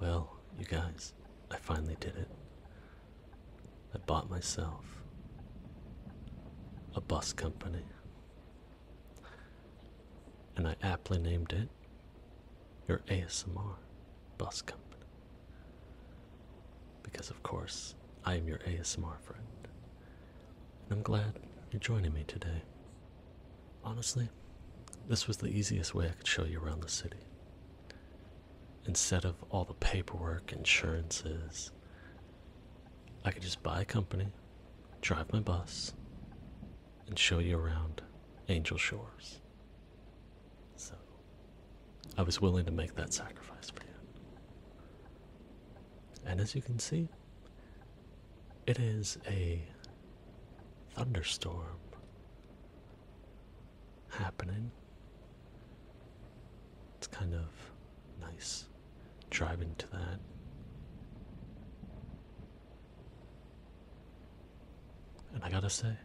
Well, you guys, I finally did it. I bought myself a bus company. And I aptly named it your ASMR bus company. Because, of course, I am your ASMR friend. And I'm glad you're joining me today. Honestly, this was the easiest way I could show you around the city. Instead of all the paperwork, insurances, I could just buy a company, drive my bus, and show you around Angel Shores. So, I was willing to make that sacrifice for you. And as you can see, it is a thunderstorm happening. It's kind of nice driving to that. And I gotta say,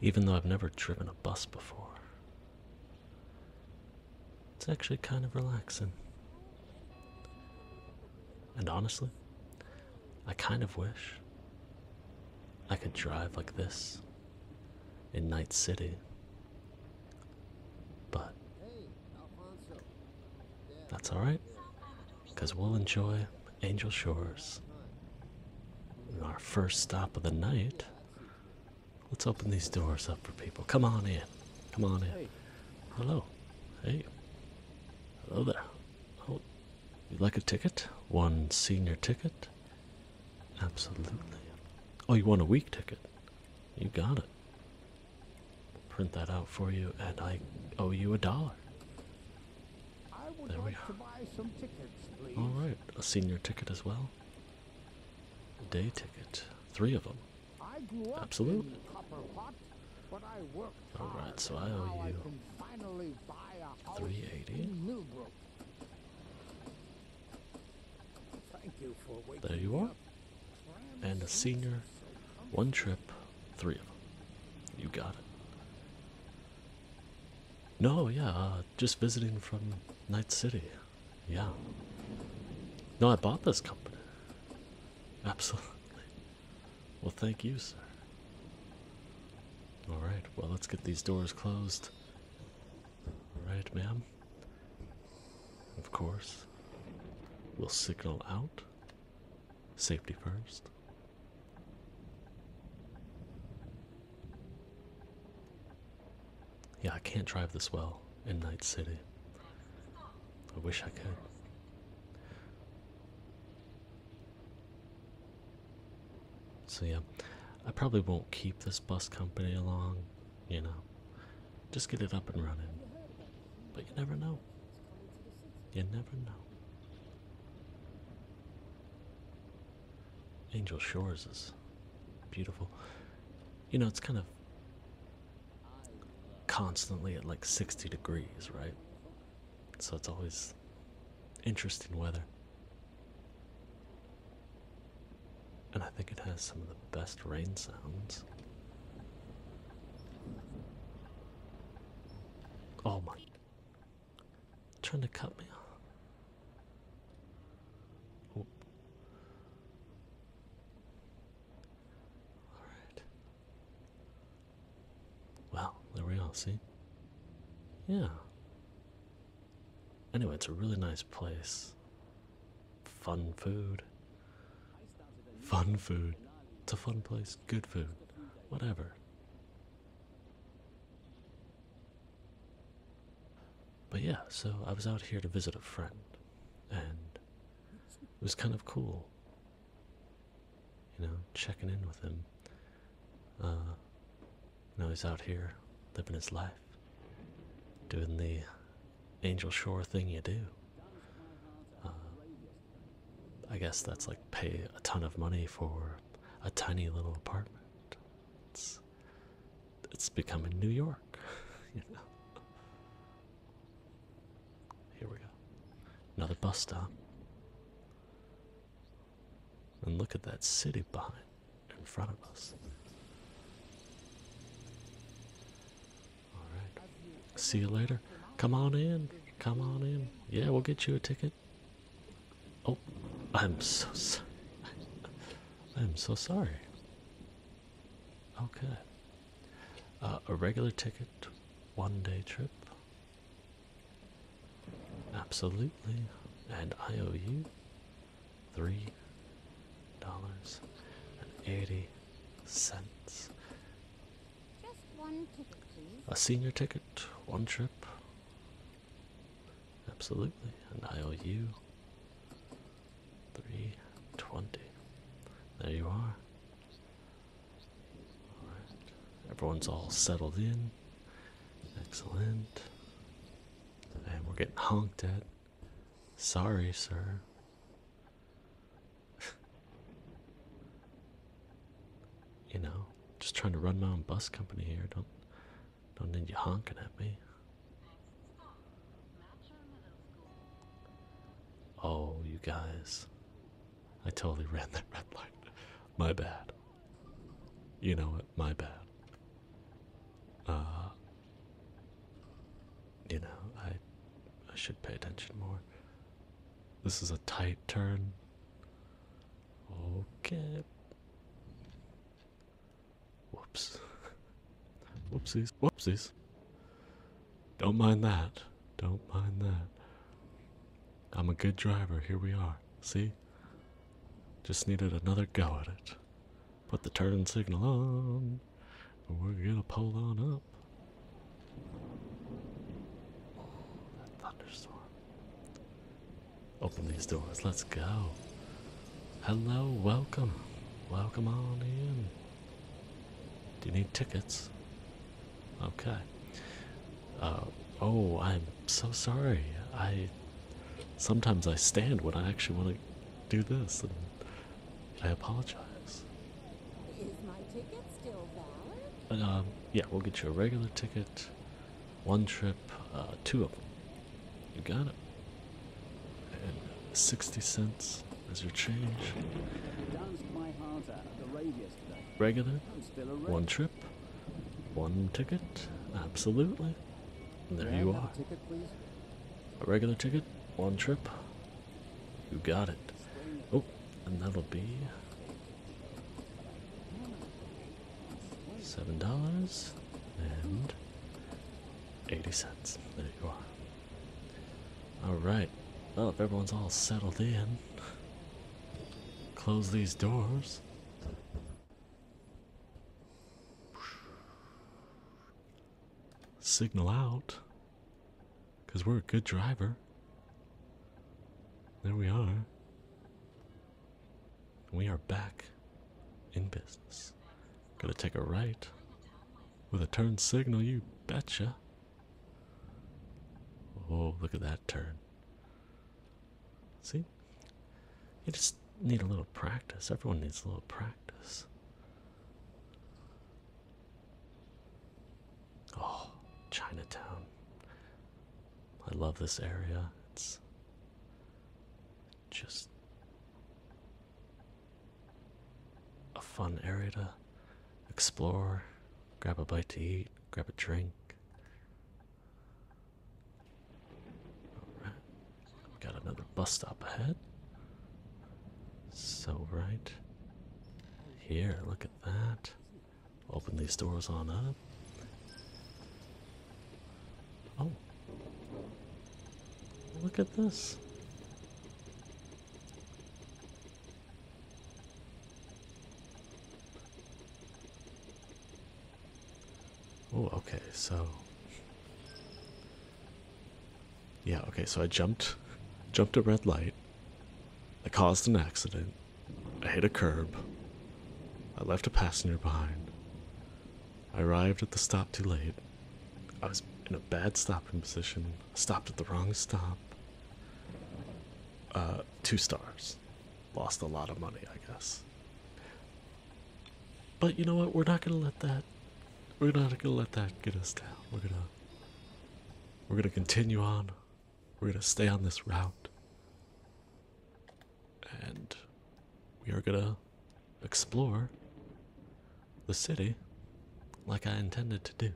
even though I've never driven a bus before, it's actually kind of relaxing. And honestly, I kind of wish I could drive like this in Night City. But that's alright, because we'll enjoy Angel Shores. our first stop of the night, let's open these doors up for people. Come on in. Come on in. Hello. Hey. Hello there. Oh, you'd like a ticket? One senior ticket? Absolutely. Oh, you want a week ticket? You got it. Print that out for you, and I owe you a dollar. I would there like we are. To buy some tickets, All right, a senior ticket as well. A day ticket, three of them. I Absolutely. All right, so I owe you I 380. Thank you for there you are. And a senior, one trip, three of them. You got it. No, yeah, uh, just visiting from Night City. Yeah. No, I bought this company. Absolutely. Well, thank you, sir. All right, well, let's get these doors closed. All right, ma'am. Of course, we'll signal out. Safety first. Yeah, I can't drive this well in Night City. I wish I could. So, yeah, I probably won't keep this bus company along, you know, just get it up and running. But you never know. You never know. Angel Shores is beautiful. You know, it's kind of constantly at like 60 degrees, right? So it's always interesting weather. And I think it has some of the best rain sounds. Oh my. Trying to cut me off. Alright. Well, there we are, see? Yeah. Anyway, it's a really nice place. Fun food. Fun food. It's a fun place. Good food. Whatever. But yeah, so I was out here to visit a friend, and it was kind of cool you know, checking in with him. Uh, you know, he's out here living his life, doing the Angel Shore thing you do. Uh, I guess that's like pay a ton of money for a tiny little apartment. It's, it's becoming New York, you know. Here we go. Another bus stop. And look at that city behind, in front of us. Alright. See you later. Come on in. Come on in. Yeah, we'll get you a ticket. Oh, I'm so sorry. I'm so sorry. Okay. Oh, uh, a regular ticket, one day trip. Absolutely. And I owe you three dollars and eighty cents. Just one ticket, please. A senior ticket, one trip. Absolutely. And I owe you three twenty. There you are. Everyone's all settled in. Excellent. And we're getting honked at. Sorry, sir. you know, just trying to run my own bus company here. Don't don't need you honking at me. Oh, you guys. I totally ran that red light. My bad. You know what? My bad. Uh you know, I I should pay attention more. This is a tight turn. Okay. Whoops. Whoopsies, whoopsies. Don't mind that. Don't mind that. I'm a good driver. Here we are. See? Just needed another go at it. Put the turn signal on. And we're gonna pull on up. thunderstorm. Open these doors. Let's go. Hello, welcome. Welcome on in. Do you need tickets? Okay. Uh, oh, I'm so sorry. I sometimes I stand when I actually want to do this, and I apologize. Is my ticket still valid? Um, yeah, we'll get you a regular ticket, one trip, uh, two of them. You got it. And sixty cents as there change? Regular? One trip? One ticket? Absolutely. there you are. A regular ticket? One trip? You got it. Oh, and that'll be seven dollars and eighty cents. There you are. Alright. Well, if everyone's all settled in, close these doors. Signal out. Because we're a good driver. There we are. We are back in business this. Gonna take a right. With a turn signal, you betcha. Oh, look at that turn. See? You just need a little practice. Everyone needs a little practice. Oh, Chinatown. I love this area. It's just a fun area to explore, grab a bite to eat, grab a drink. got another bus stop ahead. So, right here, look at that. Open these doors on up. Oh, Look at this. Oh, okay, so. Yeah, okay, so I jumped jumped a red light. I caused an accident. I hit a curb. I left a passenger behind. I arrived at the stop too late. I was in a bad stopping position. stopped at the wrong stop. Uh, two stars. Lost a lot of money, I guess. But you know what? We're not gonna let that. We're not gonna let that get us down. We're gonna. We're gonna continue on. We're gonna stay on this route. And we are gonna explore the city like I intended to do.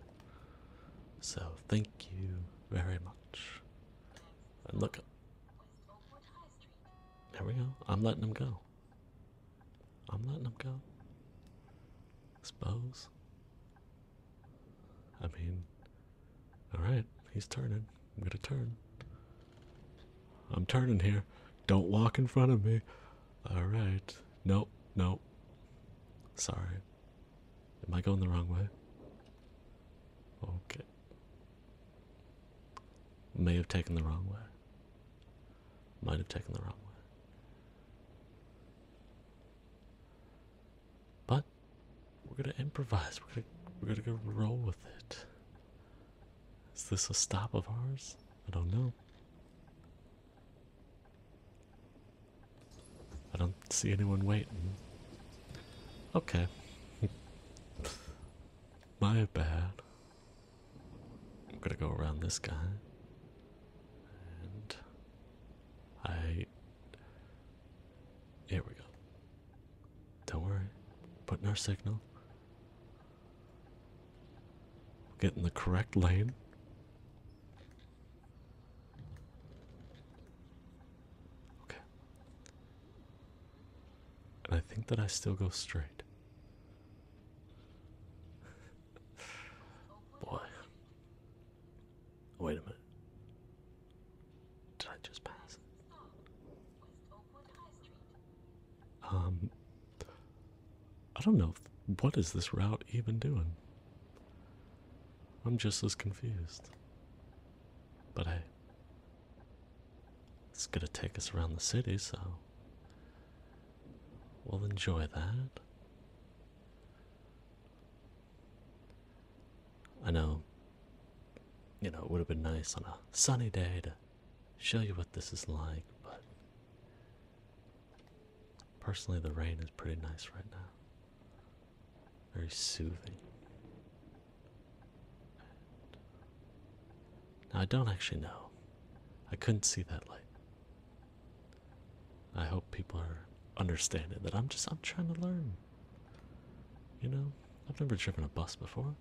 So, thank you very much. And look, there we go. I'm letting him go. I'm letting him go. Suppose. I mean, alright, he's turning. I'm gonna turn. I'm turning here. Don't walk in front of me. Alright. Nope, nope. Sorry. Am I going the wrong way? Okay. May have taken the wrong way. Might have taken the wrong way. But we're gonna improvise. We're gonna we're gonna go roll with it. Is this a stop of ours? I don't know. I don't see anyone waiting. Okay. My bad. I'm gonna go around this guy. And I. Here we go. Don't worry. Putting our signal. Get in the correct lane. Okay. And I think that I still go straight. Boy. Wait a minute. Did I just pass Um I don't know what is this route even doing. I'm just as confused. But hey, it's gonna take us around the city, so we'll enjoy that. I know, you know, it would have been nice on a sunny day to show you what this is like, but personally, the rain is pretty nice right now. Very soothing. Now, I don't actually know. I couldn't see that light. I hope people are understanding that I'm just I'm trying to learn. You know, I've never driven a bus before.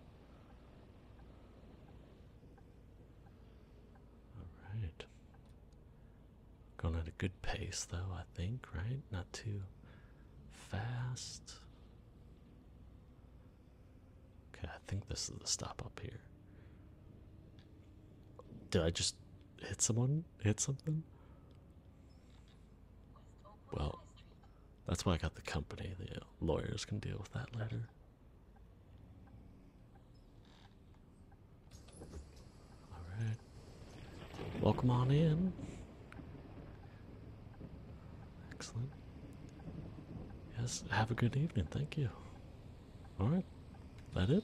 All right. Going at a good pace, though, I think, right? Not too fast. Okay, I think this is the stop up here. Did I just hit someone? Hit something? Well, that's why I got the company. The lawyers can deal with that later. Alright. Welcome on in. Excellent. Yes, have a good evening. Thank you. Alright. That it?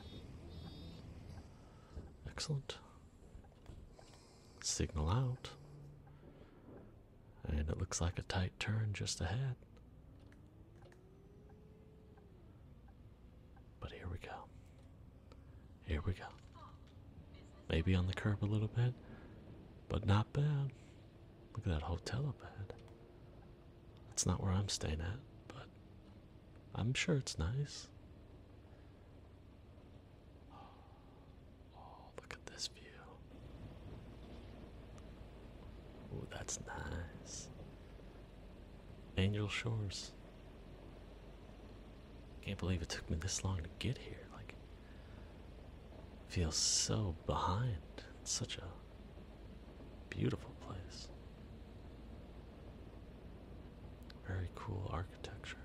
Excellent. Signal out. And it looks like a tight turn just ahead. But here we go. Here we go. Maybe on the curb a little bit, but not bad. Look at that hotel up ahead. That's not where I'm staying at, but I'm sure it's nice. Look at this view. Oh, that's nice. Angel Shores. Can't believe it took me this long to get here. Like, feels so behind. such a beautiful place. Very cool architecture.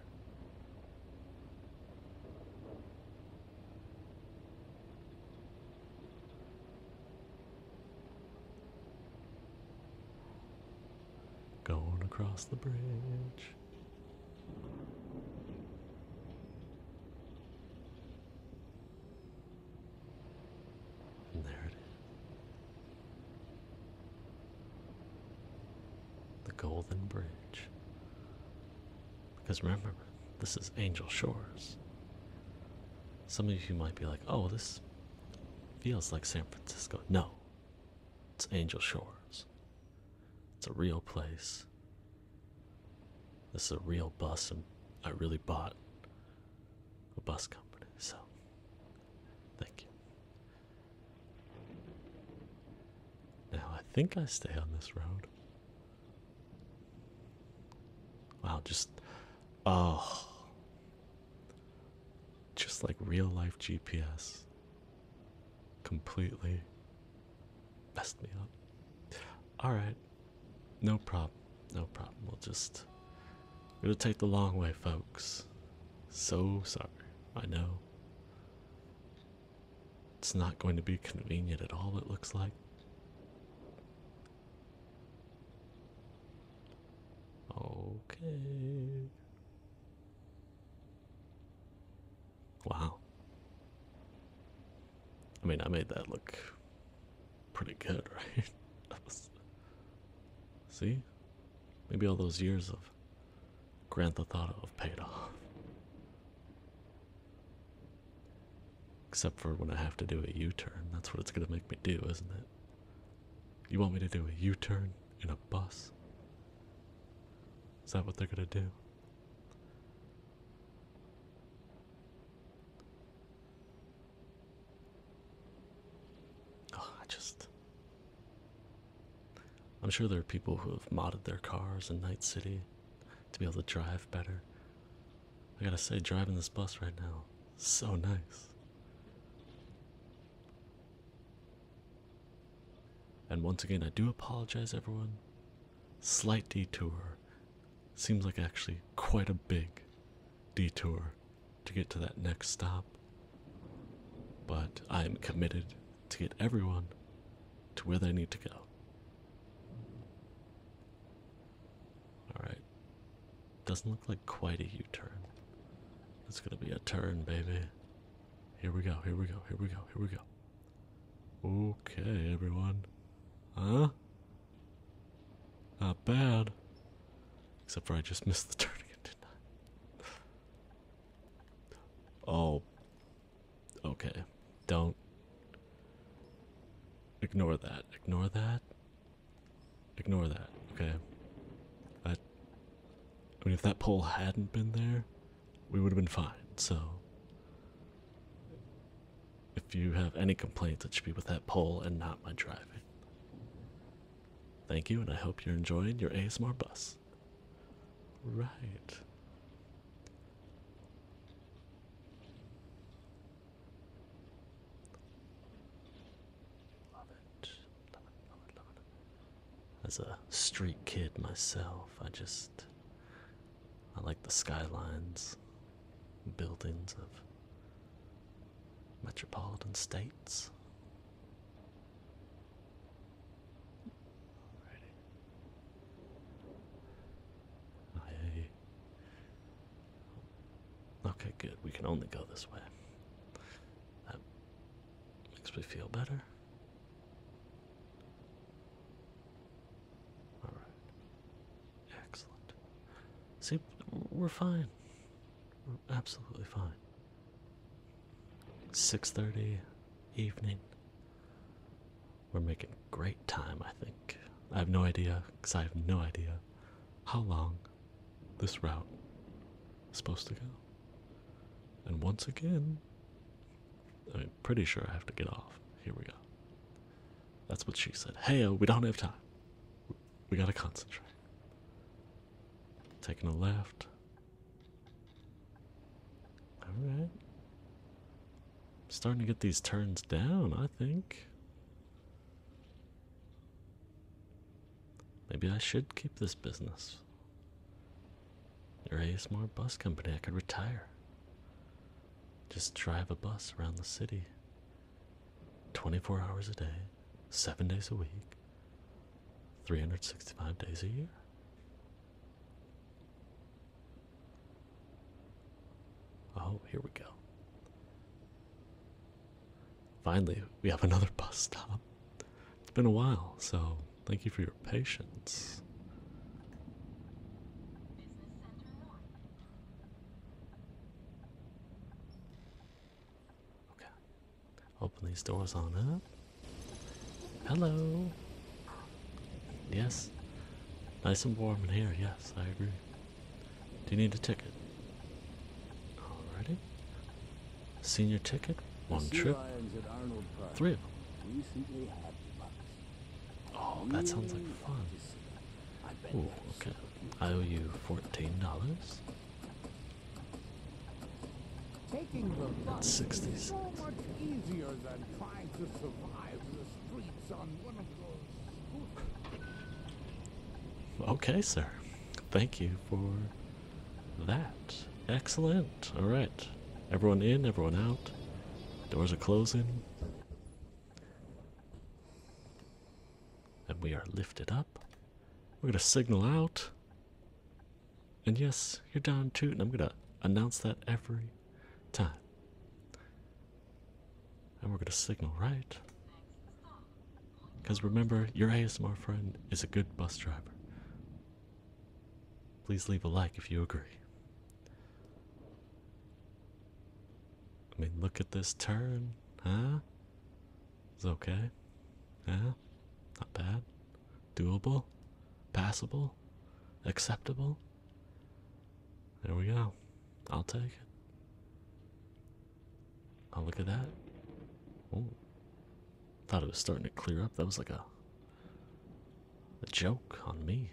Going across the bridge. And there it is. The Golden Bridge. Because remember, this is Angel Shores. Some of you might be like, oh, this feels like San Francisco. No, it's Angel Shores. It's a real place. This is a real bus, and I really bought a bus company, so thank you. Now, I think I stay on this road. Wow, just oh, just like real life GPS completely messed me up. All right, no problem, no problem. We'll just we'll take the long way, folks. So sorry, I know. It's not going to be convenient at all, it looks like. Okay. Wow. I mean, I made that look pretty good, right? see? Maybe all those years of Grand Theft Auto have paid off. Except for when I have to do a U turn. That's what it's going to make me do, isn't it? You want me to do a U turn in a bus? Is that what they're going to do? Oh, I just. I'm sure there are people who have modded their cars in Night City to be able to drive better. I gotta say, driving this bus right now, so nice. And once again, I do apologize, everyone. Slight detour. Seems like actually quite a big detour to get to that next stop. But I am committed to get everyone to where they need to go. Alright. Doesn't look like quite a U turn. It's gonna be a turn, baby. Here we go, here we go, here we go, here we go. Okay, everyone. Huh? Not bad. Except for I just missed the turn again, didn't oh. Okay. Don't. Ignore that. Ignore that. Ignore that. Okay. I mean, if that pole hadn't been there, we would have been fine, so. If you have any complaints, it should be with that pole and not my driving. Thank you, and I hope you're enjoying your ASMR bus. Right. Love it. Love it, love it, love it. As a street kid myself, I just. I like the skylines, buildings of metropolitan states. Okay, good. We can only go this way. That makes me feel better. All right. Excellent. See, we're fine. We're absolutely fine. 6:30 evening. We're making great time, I think. I have no idea, because I have no idea how long this route is supposed to go. And once again, I'm pretty sure I have to get off. Here we go. That's what she said. Hey, we don't have time. We gotta concentrate. Taking a left, Alright. Starting to get these turns down, I think. Maybe I should keep this business. Your ASMR bus company, I could retire. Just drive a bus around the city. 24 hours a day, 7 days a week, 365 days a year. Oh, here we go. Finally, we have another bus stop. It's been a while, so thank you for your patience. Okay. Open these doors on up. Hello. Yes. Nice and warm in here. Yes, I agree. Do you need a ticket? Alrighty. Senior ticket. One trip. Three of them. Oh, that sounds like fun. Ooh, okay. I owe you fourteen dollars. Taking the 60s. so much easier than trying to survive the streets on one of those. okay, sir. Thank you for that. Excellent. All right. Everyone in, everyone out. Doors are closing. And we are lifted up. We're going to signal out. And yes, you're down too, and I'm gonna announce that every time. And we're gonna signal right. Because remember, your ASMR friend is a good bus driver. Please leave a like if you agree. I mean, look at this turn, huh? It's okay. Yeah, not bad doable, passable, acceptable. There we go. I'll take it. Oh, look at that. Oh. Thought it was starting to clear up. That was like a a joke on me.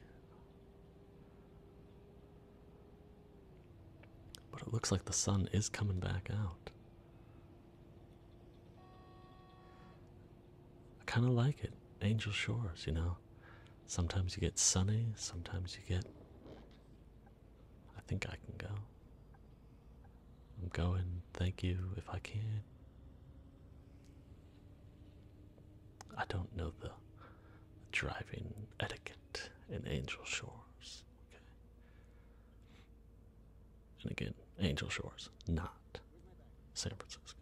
But it looks like the sun is coming back out. I kind of like it. Angel Shores, you know. Sometimes you get sunny, sometimes you get. I think I can go. I'm going, thank you if I can. I don't know the, driving etiquette in Angel Shores. Okay. And again, Angel Shores, not San Francisco.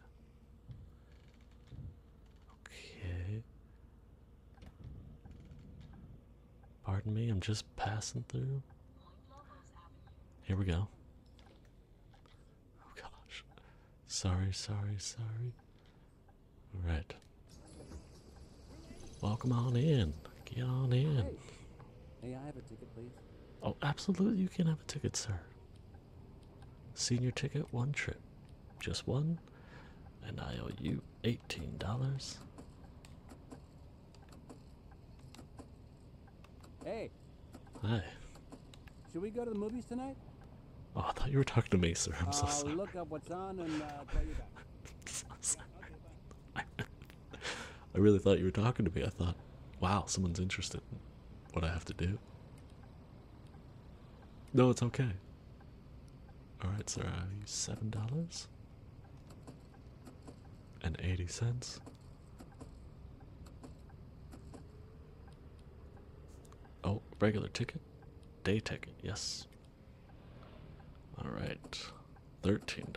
Okay. Pardon me, I'm just passing through. Here we go. Oh gosh. Sorry, sorry, sorry. All right. Welcome on in. Get on in. Oh, absolutely, you can have a ticket, sir. Senior ticket, one trip. Just one. And I owe you $18. Hey. Hi. Should we go to the movies tonight? Oh, I thought you were talking to me, sir. I'm so uh, sorry. I really thought you were talking to me. I thought, wow, someone's interested in what I have to do. No, it's okay. Alright, sir, I seven dollars and eighty cents. Oh, regular ticket? Day ticket, yes. Alright. $13.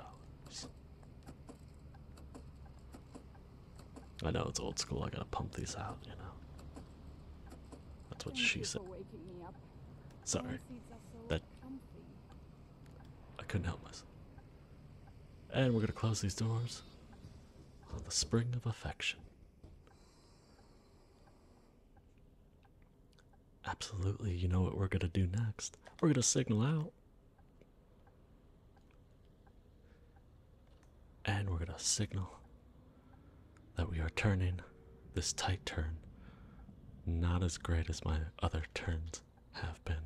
I know it's old school, I gotta pump these out, you know. That's what she said. Sorry. that I couldn't help myself. And we're gonna close these doors. On the spring of affection. Absolutely, you know what we're gonna do next. We're gonna signal out and we're gonna signal that we are turning this tight turn, not as great as my other turns have been.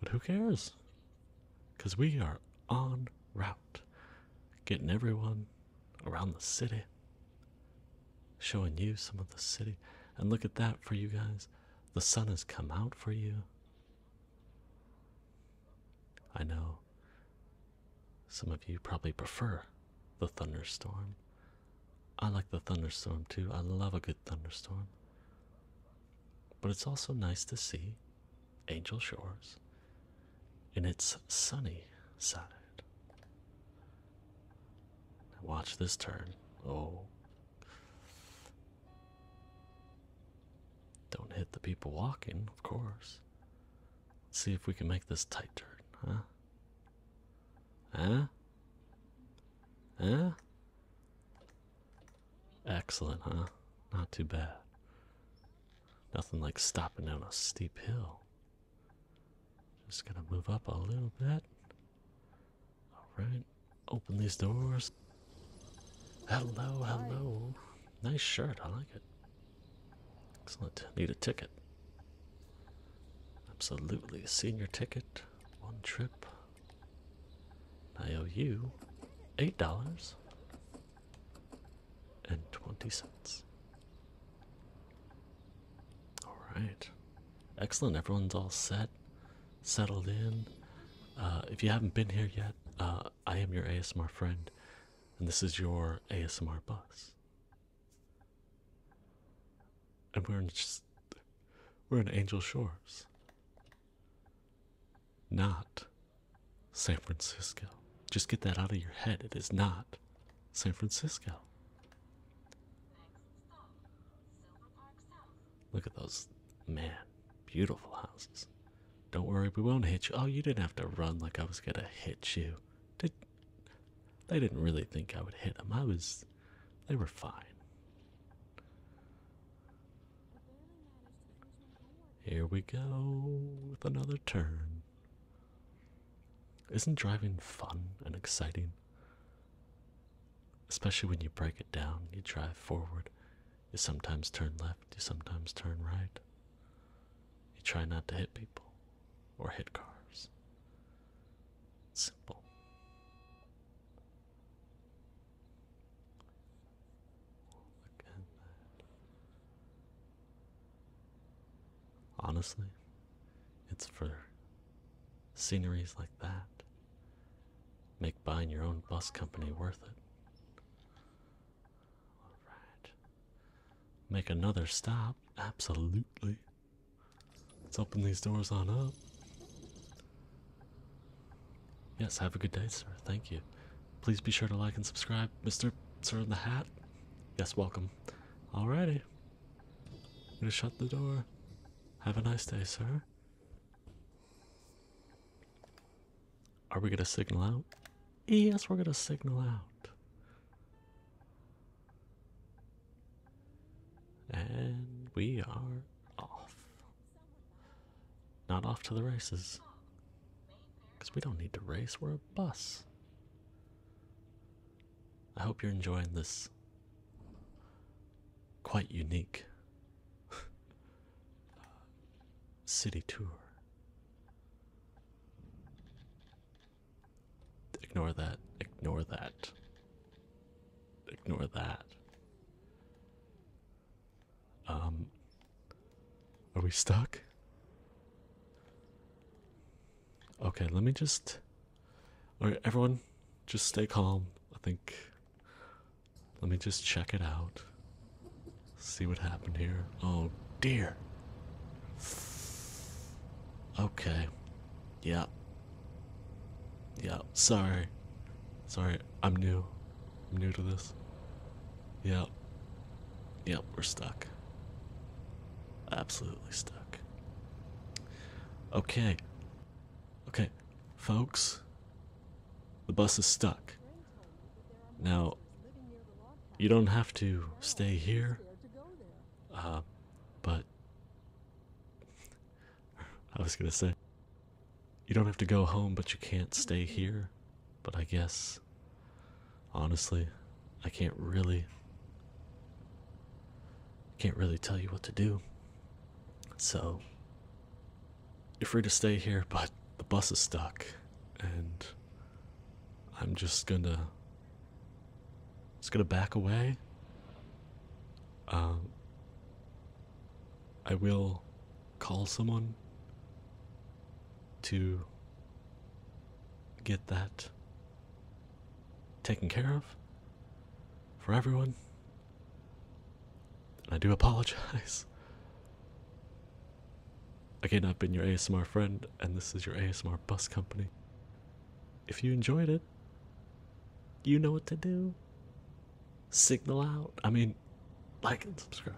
But who cares? Because we are on route, getting everyone around the city, showing you some of the city. And look at that for you guys. The sun has come out for you. I know some of you probably prefer the thunderstorm. I like the thunderstorm too. I love a good thunderstorm. But it's also nice to see Angel Shores in its sunny side. Watch this turn. Oh, don't hit the people walking, of course. see if we can make this tight turn, huh? Huh? Huh? Excellent, huh? Not too bad. Nothing like stopping down a steep hill. Just gonna move up a little bit. Alright, open these doors. Hello, hello. Nice shirt, I like it. Excellent. Need a ticket. Absolutely. Senior ticket. One trip. I owe you eight dollars and twenty cents. Alright. Excellent, everyone's all set, settled in. Uh, if you haven't been here yet, uh, I am your ASMR friend, and this is your ASMR bus. And we're in just, we're in Angel Shores, not San Francisco. Just get that out of your head. It is not San Francisco. Look at those, man, beautiful houses. Don't worry, we won't hit you. Oh, you didn't have to run like I was gonna hit you. Did they didn't really think I would hit them? I was, they were fine. Here we go with another turn. Isn't driving fun and exciting? especially when you break it down. You drive forward, you sometimes turn left, you sometimes turn right. You try not to hit people or hit cars. Simple. Look at that. Honestly, it's for sceneries like that. Make buying your own bus company worth it. Alright. Make another stop. Absolutely. Let's open these doors on up. Yes, have a good day, sir. Thank you. Please be sure to like and subscribe, Mr. Sir in the Hat. Yes, welcome. All righty. I'm gonna shut the door. Have a nice day, sir. Are we gonna signal out? Yes, we're gonna signal out. And we are off. Not off to the races. Because we don't need to race, we're a bus. I hope you're enjoying this quite unique city tour. Ignore that, ignore that, ignore that. Um, are we stuck? Okay, let me just. Alright, everyone, just stay calm. I think. Let me just check it out. See what happened here. Oh dear. Okay. Yeah. Yeah, sorry. Sorry, I'm new. I'm new to this. Yeah. yeah, we're stuck. Absolutely stuck. Okay. Okay, folks. The bus is stuck. Now, you don't have to stay here, uh, but I was gonna say, you don't have to go home, but you can't stay here. But I guess, honestly, I can't really can't really tell you what to do. So you're free to stay here, but the bus is stuck and I'm just gonna just gonna back away. Um I will call someone to get that taken care of for everyone. I do apologize. Again, I've been your ASMR friend, and this is your ASMR bus company. If you enjoyed it, you know what to do. Signal out. I mean, like and subscribe.